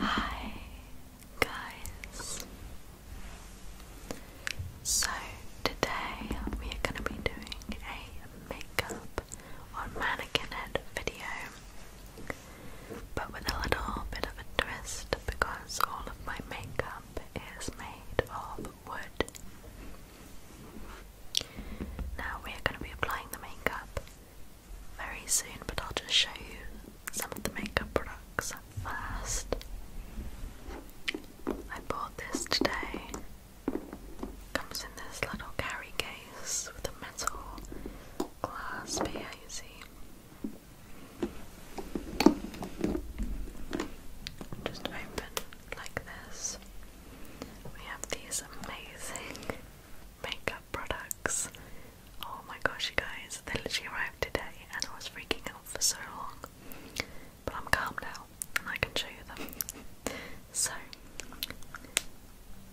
Hi guys. So today we are going to be doing a makeup on mannequin head video, but with a little bit of a twist because all of my makeup is made of wood. Now we are going to be applying the makeup very soon, but I'll just show you some of the makeup products first. I bought this today. Comes in this little carry case with a metal glass here, you see. Just open like this. We have these amazing makeup products. Oh my gosh, you guys, they literally arrived today and I was freaking out for so long. But I'm calm now and I can show you them. so,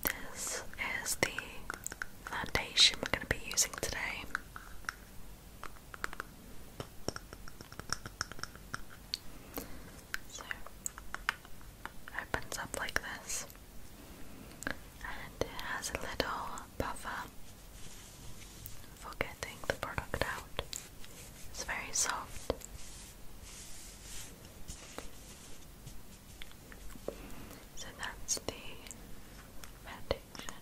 this is the foundation we're going to be using today. So, opens up like this and it has a little buffer for getting the product out. It's very soft. So that's the foundation.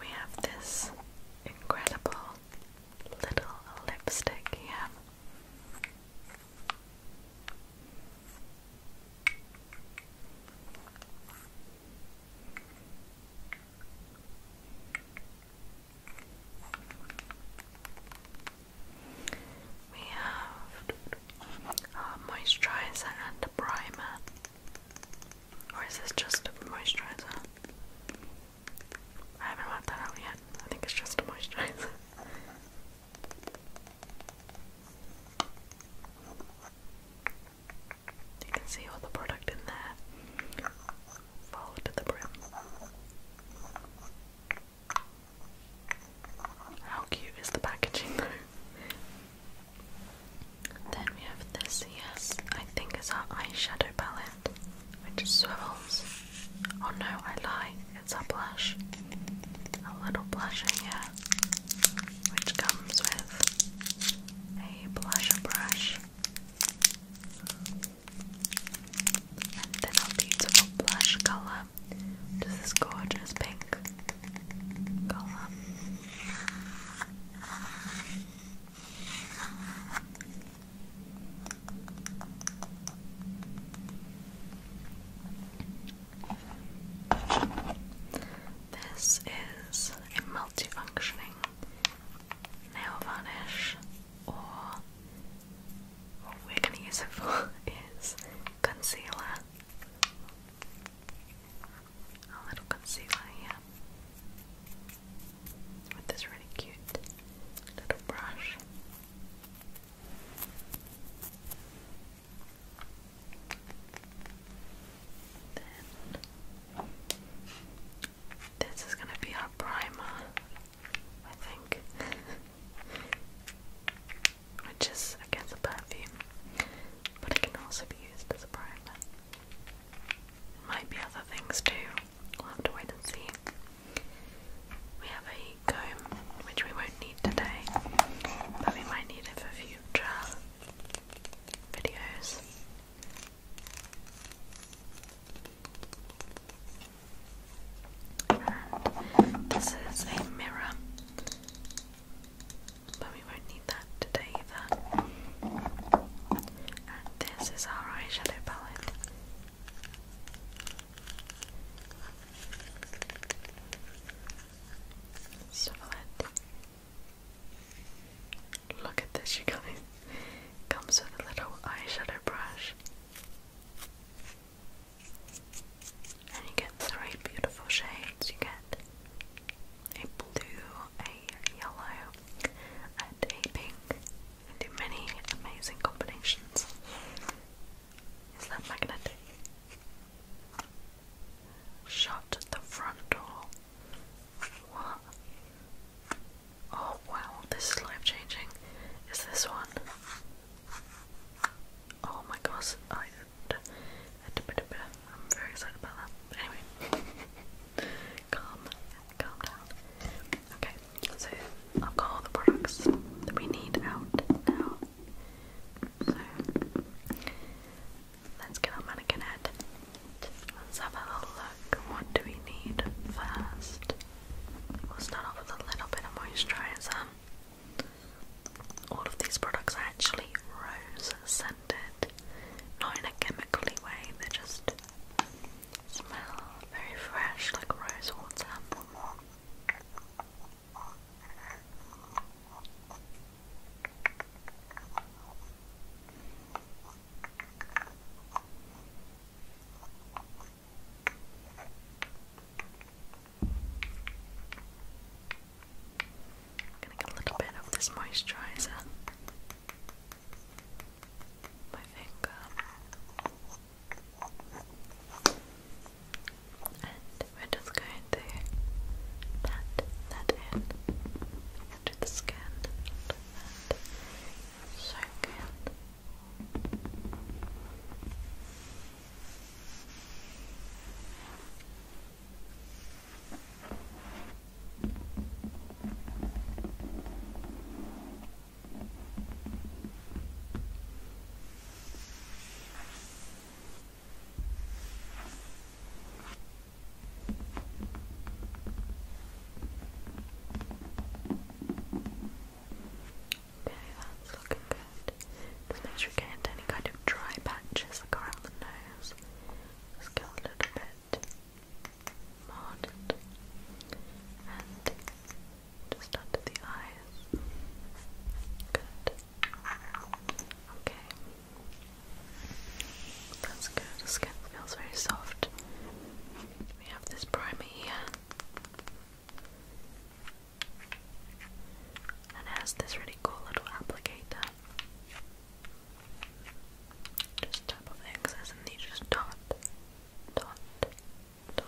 We have this incredible little lipstick here. We have our uh, moisturizer and a primer. Or is this just a moisturizer? I haven't worked that out yet. I think it's just a moisturizer. You can see all the product in there, fold to the brim. How cute is the packaging Then we have this, yes, I think is our eyeshadow palette which swivels. Oh no, I lie, it's a blush. A little blusher here, which comes with a blusher brush. And then a beautiful blush colour, which is this gorgeous pink colour. This is a multifunctioning nail varnish, or what we're going to use it for is concealer. A little concealer here with this really cute little brush. Then this is going to be our primer, I think, which is against a perfume, but it can also be used as a primer. Might be other things too. We'll have to wait and see. We have a comb, which we won't need today, but we might need it for future videos. this is a mirror, but we won't need that today either. And this is our eyeshadow palette. Suvalent. Look at this, you guys. Comes with a little eyeshadow brush. And you get three beautiful shades. You get a blue, a yellow, and a pink and do many amazing combinations. Is that magnetic? Shut the front door. What? Oh wow, this is life changing. Is this one? Oh my gosh, I, am very excited about that. Anyway, calm down. Okay, so I've got the products that we need out now. So let's get our mannequin head. Let's have a little look. What do we need first? We'll start off with a little bit of moisturizer. All of these products are actually rose scented, not in a chemically way, they're just Smell very fresh, like rose water. gonna get a little bit of this moisturizer my finger. And we're just going to pat that in into the skin and soak in. Okay, that's looking good. make sure you get into any kind of dry patches around the nose. Just get a little bit. Mod it. And just under the eyes. Good. Okay. That's good. The skin feels very soft. We have this primer here. And it has this really cool little applicator. Just tap off the excess and you just dot dot, dot, dot,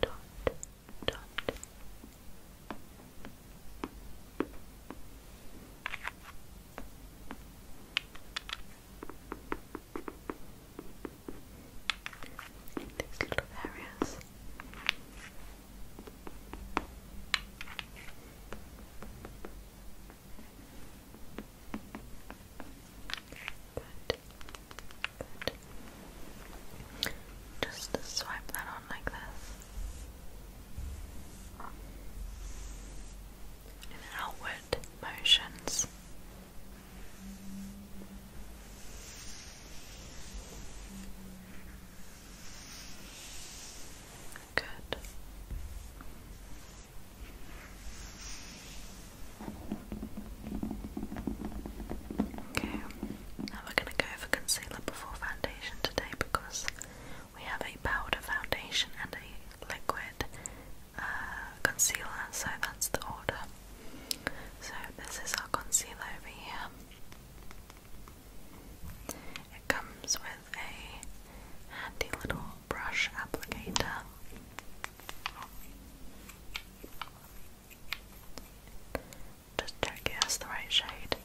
dot, dot. In these little areas. Just swipe that on like this. In outward motions. Good. Okay, now we're going to go for concealer before foundation today because we have a powder foundation and a liquid uh, concealer, so that's the order. So, this is our concealer over here. It comes with a handy little brush applicator. Just check it has the right shade.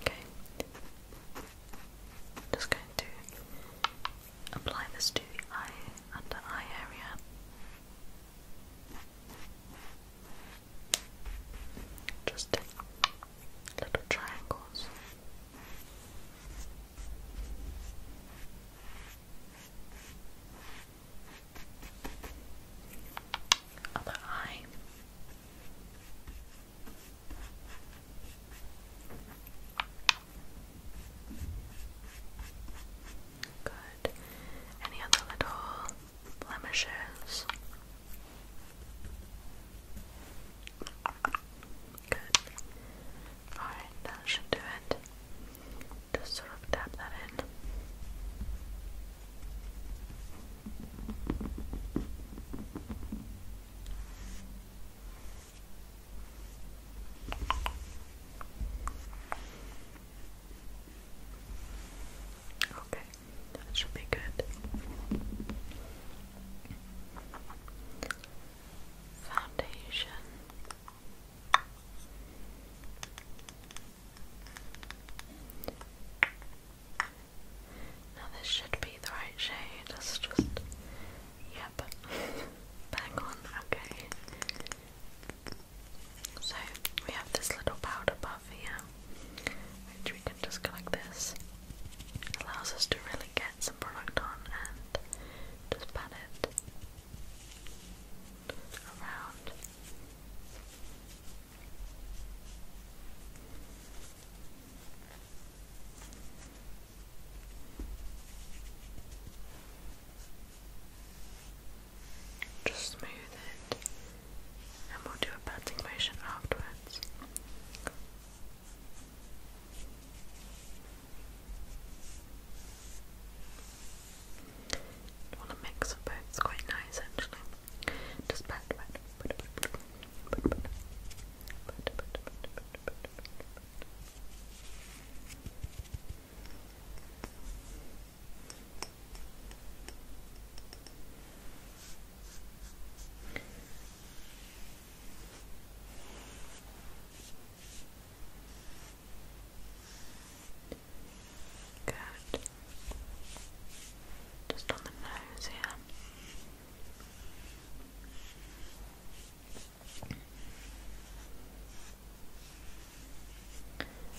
Okay. Okay. Just going to apply this to the eye under eye area. Just little triangles. Other eye. Good. Any other little blemishes? Good. Alright, that should do it. Just sort of tap that in. Okay. That should be good. Foundation. Now this should be the right shade, let's just, yep, back on, okay. So we have this little powder puff here, which we can just go like this. It allows us to really get some product on and just pat it around. Just smooth it, and we'll do a patting motion afterwards. want to mix up it's quite nice actually. Just pat, pat, pat, pat, pat, pat, pat, pat, pat, pat, pat, pat. Good. Just on the nose here.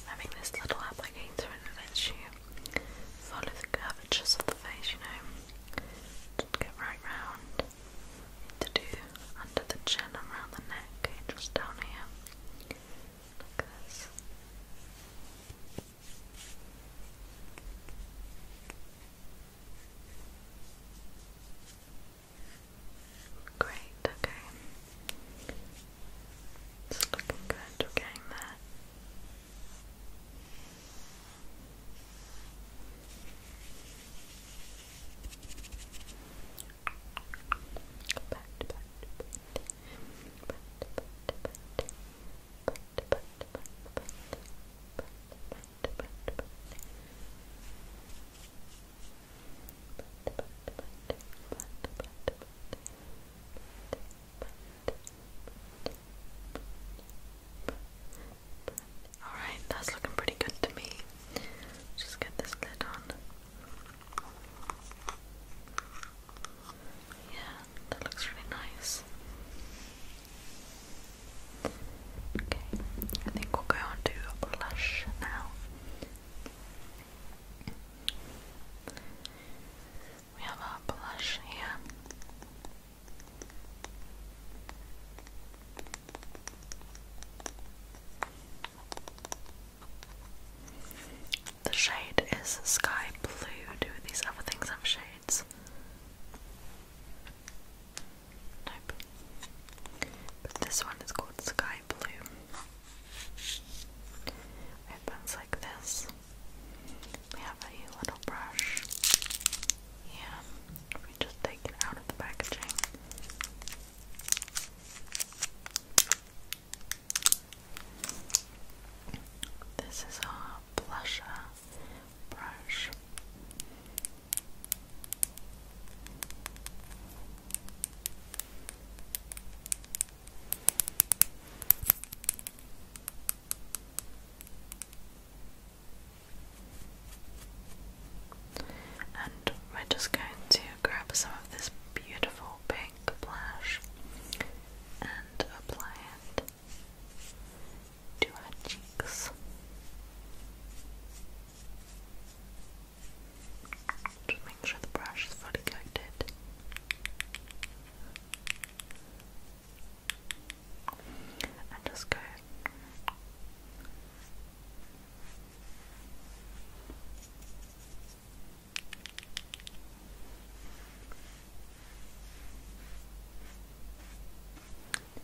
Having this little applicator and it you follow the curvatures of the face, you know, get right round to do under the chin around the neck, okay, just down here. Look this. Great, okay. It's looking good, we're getting there. Alright, that's looking pretty good to me. Just get this lid on. Yeah, that looks really nice. Okay, I think we'll go on to blush now. We have our blush here. The shade is sky blue. Do these other things have shades? Nope. But this one is called Sky Blue. Opens like this. We have a little brush, and we just take it out of the packaging. This is our blusher uh, brush. And we're just going to grab some of this beautiful pink blush and apply it to our cheeks. Just make sure the brush is fully connected, And just go.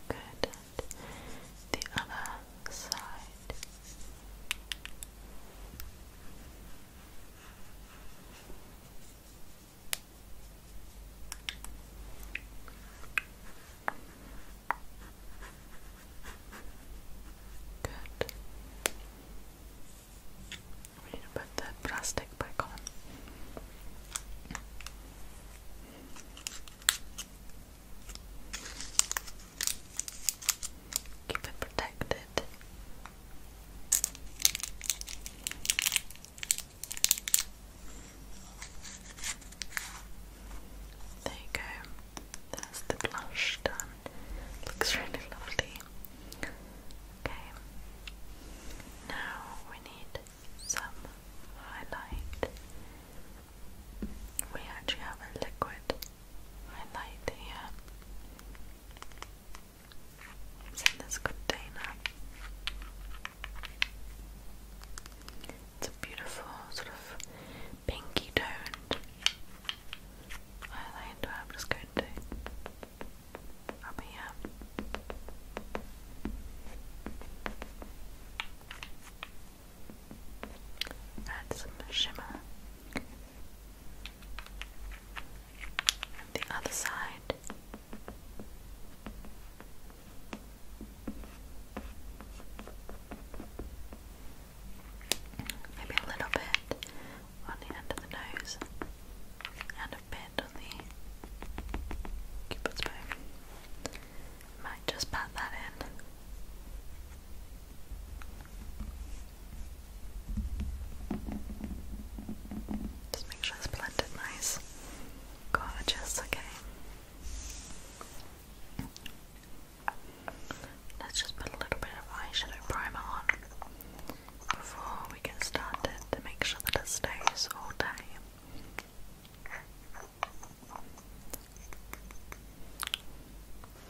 Good. the other side. Good. We need to put the plastic back on. Keep it protected. There you go. That's the blush done. Looks really lovely. Okay. Now we need some highlight. We actually have a liquid highlight here. It's in this container. It's a beautiful sort of pinky toned highlighter. I'm just going to up here. Add some shimmer the other side. Maybe a little bit on the end of the nose and a bit on the cupid's bow. Might just pat that in. Just make sure it's blended nice. Gorgeous, okay. Let's just put a little bit of eyeshadow primer on before we get started to make sure that it stays all day.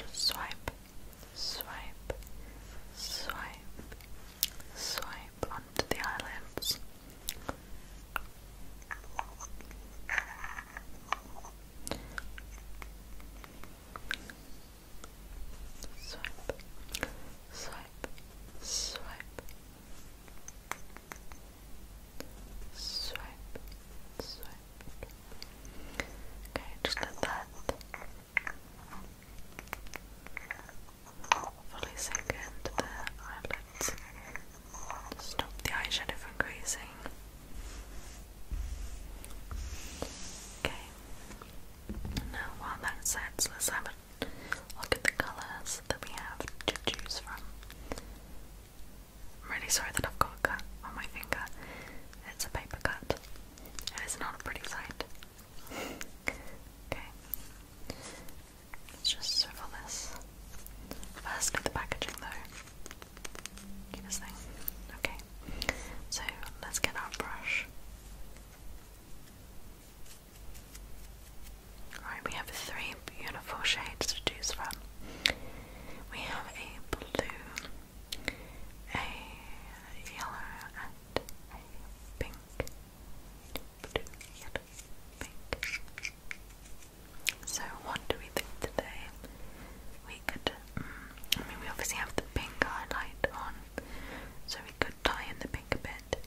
Just swipe swipe, swipe, swipe onto the eyelids. Swipe, swipe, swipe, swipe, swipe, Okay, just let that fully sink into the eyelids. Stop the eyeshadow from Okay. Now while that sets, let's have a look at the colours that we have to choose from. I'm really sorry that I've got a cut on my finger. It's a paper cut, it's not a pretty sight. okay, let's just swivel this. Firstly, the packaging though. Keep this thing. Okay, so let's get our brush. Alright, we have three beautiful shades to choose from. We have a blue, a yellow and a pink. Blue, yellow, pink. So what do we think today? We could, mm, I mean we obviously have the pink highlight on, so we could tie in the pink a bit.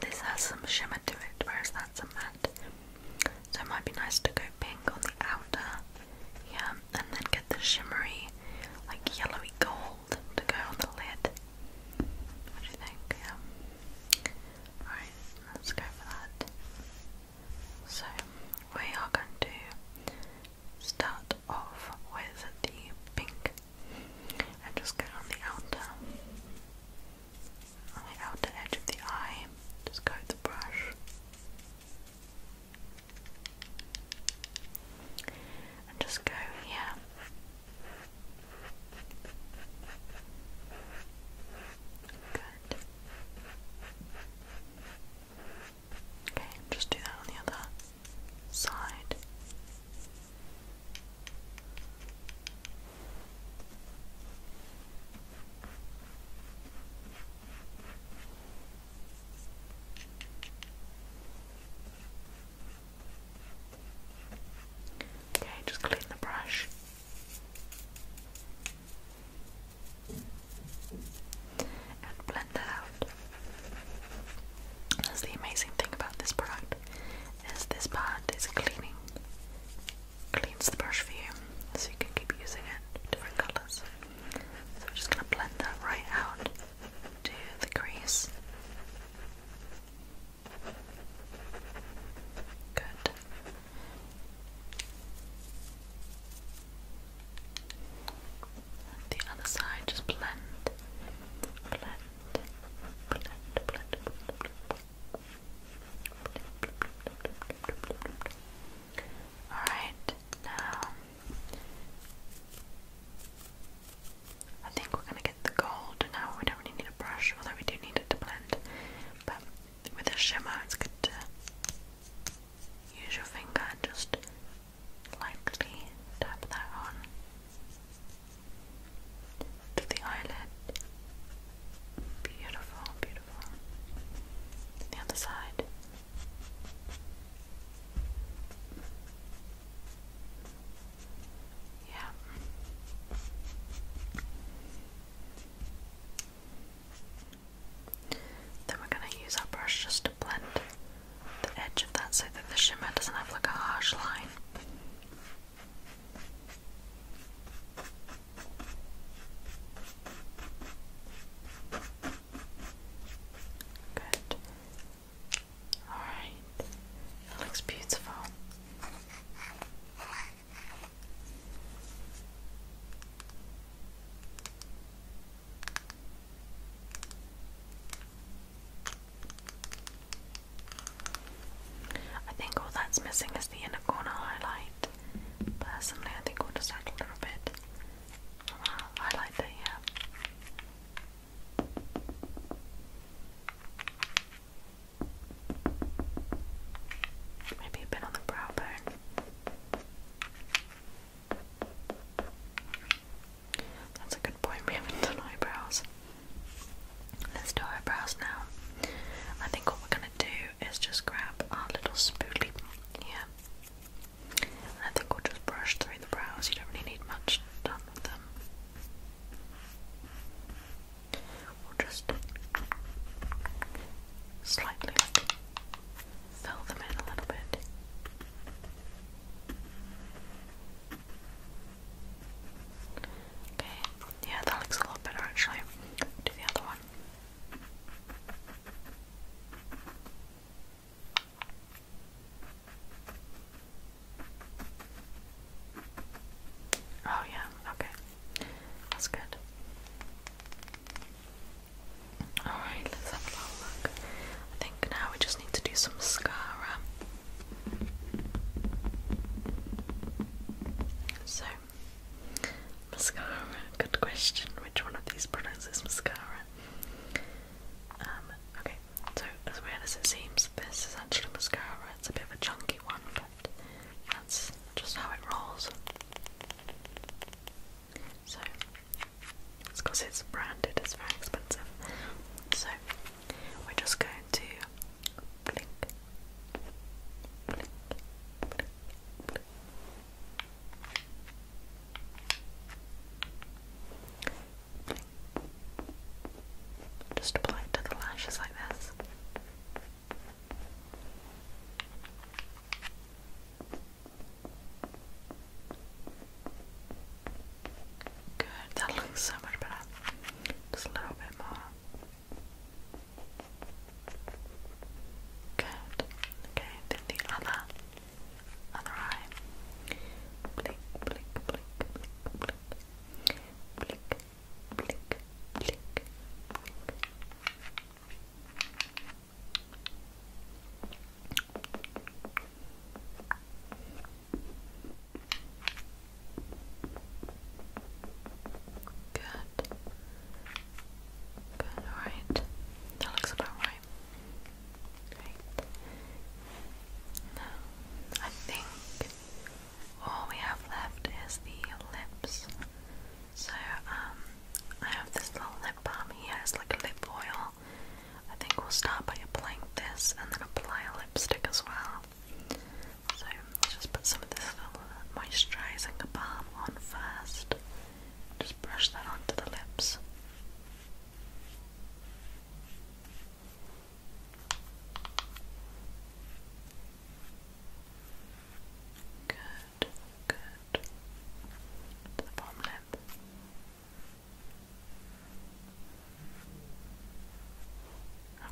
This has some shimmer to it, whereas that's a matte. So it might be nice to go pink on the outer, yeah, and then get the shimmery, like yellowy gold to go on the lid. What do you think? Yeah. Alright, let's go for that. So we are going to start off with the pink and just go on the outer on the outer edge of the eye. Just go the brush and just go here. Good. Okay, just do that on the other side. Okay, just clean the brush. And blend it out. That's the amazing thing about this product, is this part is cleaning cleans the brush for you so you can keep using it, different colours. So we're just going to blend that right out to the crease. Good. The other side, just blend, blend, blend, blend, blend, blend Alright, now I think we're gonna get the gold now. We don't really need a brush, although we do need it to blend. But with a shimmer, it's good to use your finger and just lightly tap that on to the eyelid. Beautiful, beautiful the other side. Yeah. Then we're going to use our brush just to blend the edge of that so that the shimmer doesn't have like a harsh line. Good. Alright. It looks beautiful. I think all that's missing is the inner corner highlight. Personally, I think we'll just add a little bit. I'll that, yeah. Maybe a bit on the brow bone. That's a good point, we haven't done eyebrows. Let's do eyebrows now. I think what we're gonna do is just grab our little spoolie here. I think we'll just brush through the brows, you don't really need much done with them. We'll just slightly fill them in a little bit. Okay, yeah, that looks a lot better actually. Do the other one. Oh, yeah, okay. That's good. Alright, let's have a look. I think now we just need to do some mascara. So, Mascara, good question. Which one of these products is mascara? Um, okay, so as weird as it seems, this is actually mascara. It's a bit of a chunky one, but that's just how it rolls. So, it's because it's branded, it's very expensive. So, we're just going to blink, blink, Just apply it to the lashes like this. Good, that looks so much better. Just a little bit more. Good. Okay, then the other other eye. Blink, blink, blink, blink, blink. Blink, blink, blink, blink. Okay, Good. Good, alright. That looks about right. Great. Now, I think all we have left is the lips. So, um, I have this little lip balm here, it's like a lip oil. I think we'll start by applying this and then apply a lipstick as well. So just put some of this little moisturising balm on first. Just brush that onto the lips. Good, good. To the bottom lip.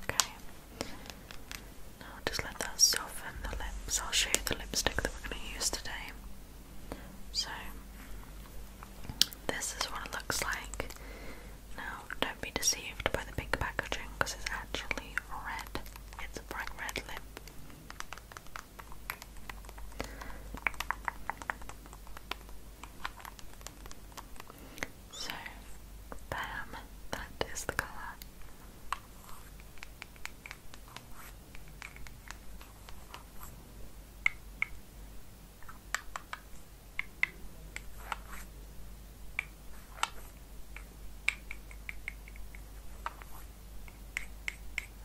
Okay. Now just let that soften the lips. I'll show you the lipstick that we're going to use today. So, this is what it looks like. Now, don't be deceived by the big packaging because it's actually red. It's a bright red lip. So, bam, that is the colour.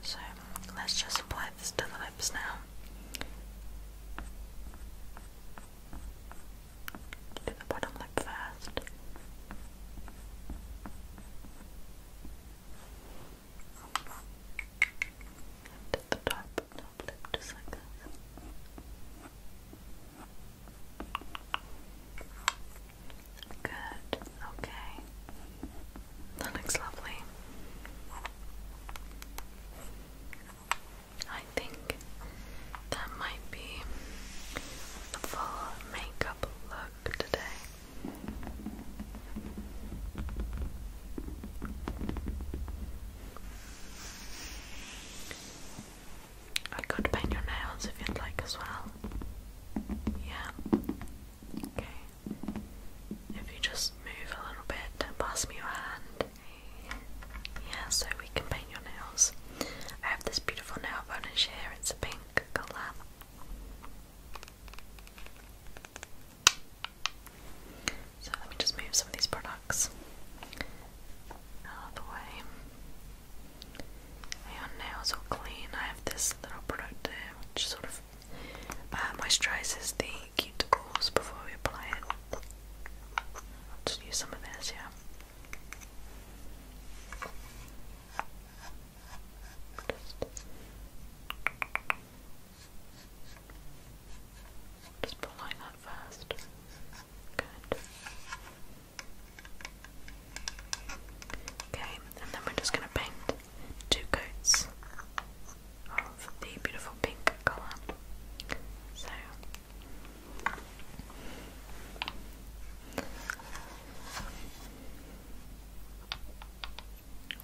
So let's just apply this to the lips now. Do the bottom lip first. And the top, top lip just like this. Good, okay. That looks lovely. I think that might be the full makeup look today. I could paint your nails if you'd like as well. Yeah. Okay. If you just move a little bit pass me your hand, yeah, so we can paint your nails. I have this beautiful nail varnish here, it's a pink colour. So let me just move some of these products out of the way. Your nails all clean. I have this little product which sort of uh, moisturises the cuticles before we apply it. I'll use some of this, yeah. Just pull like that first. Good. Okay, and then we're just going to paint two coats of the beautiful pink colour. So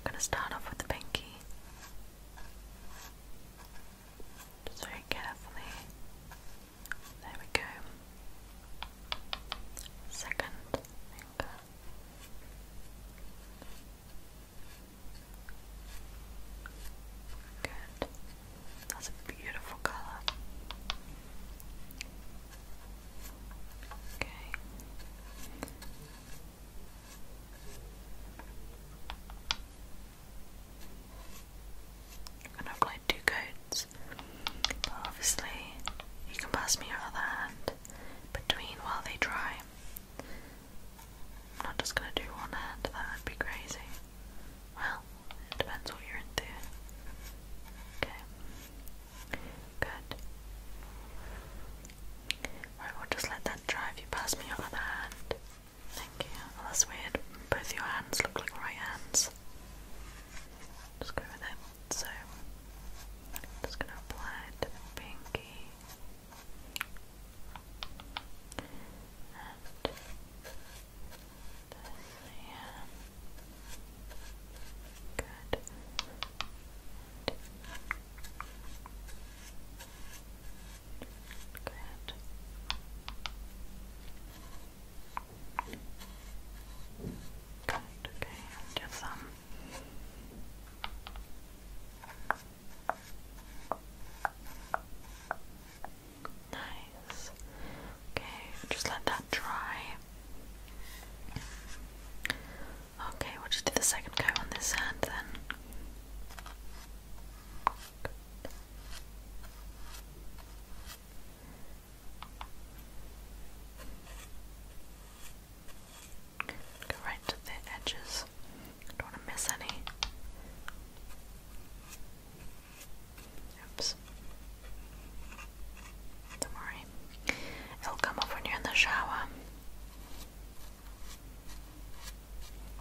I'm gonna start off with the pinky. Just very carefully. There we go. Second finger. Good. That's a beautiful color. Okay. And I applied two coats, obviously you can pass me your other hand between while they dry. I'm not just gonna do one hand, that would be crazy. Well, it depends what you're into. Okay. Good. Right, we'll just let that dry. If you pass me your other hand. Thank you. Well, that's weird. Both your hands look like right hands. Just go with it. So, just going to apply to the pinky yeah. Good. Good. Good, okay, just um Good. Nice. Okay, just let that dry. Okay, we'll just do the second coat on this hand then. Go the edges. Don't want to miss any. Oops. Don't worry. It'll come up when you're in the shower.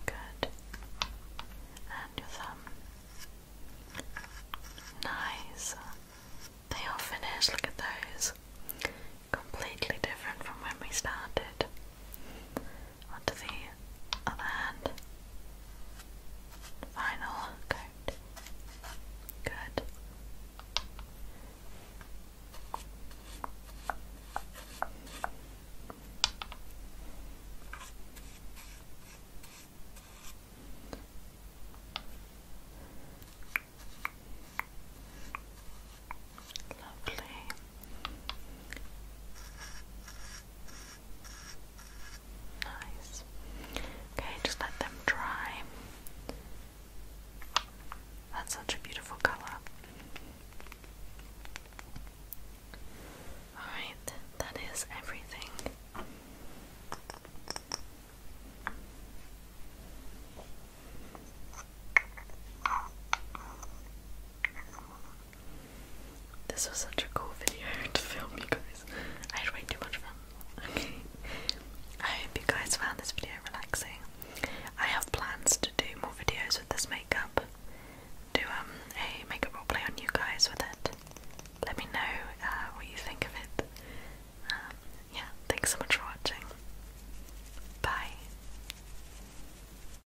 Good. And your thumb. Nice. They are finished. Look at those. Completely different from when we started onto the other hand. Final coat. Good. Lovely. Nice. Okay, just let them dry. That's such a beautiful color. Alright, that is everything. This was such a cool video to film, you guys. I had way too much fun. Okay. I hope you guys found this video relaxing. I have plans to do more videos with this makeup. Do um a makeup play on you guys with it. Let me know uh, what you think of it. Um, yeah, thanks so much for watching. Bye.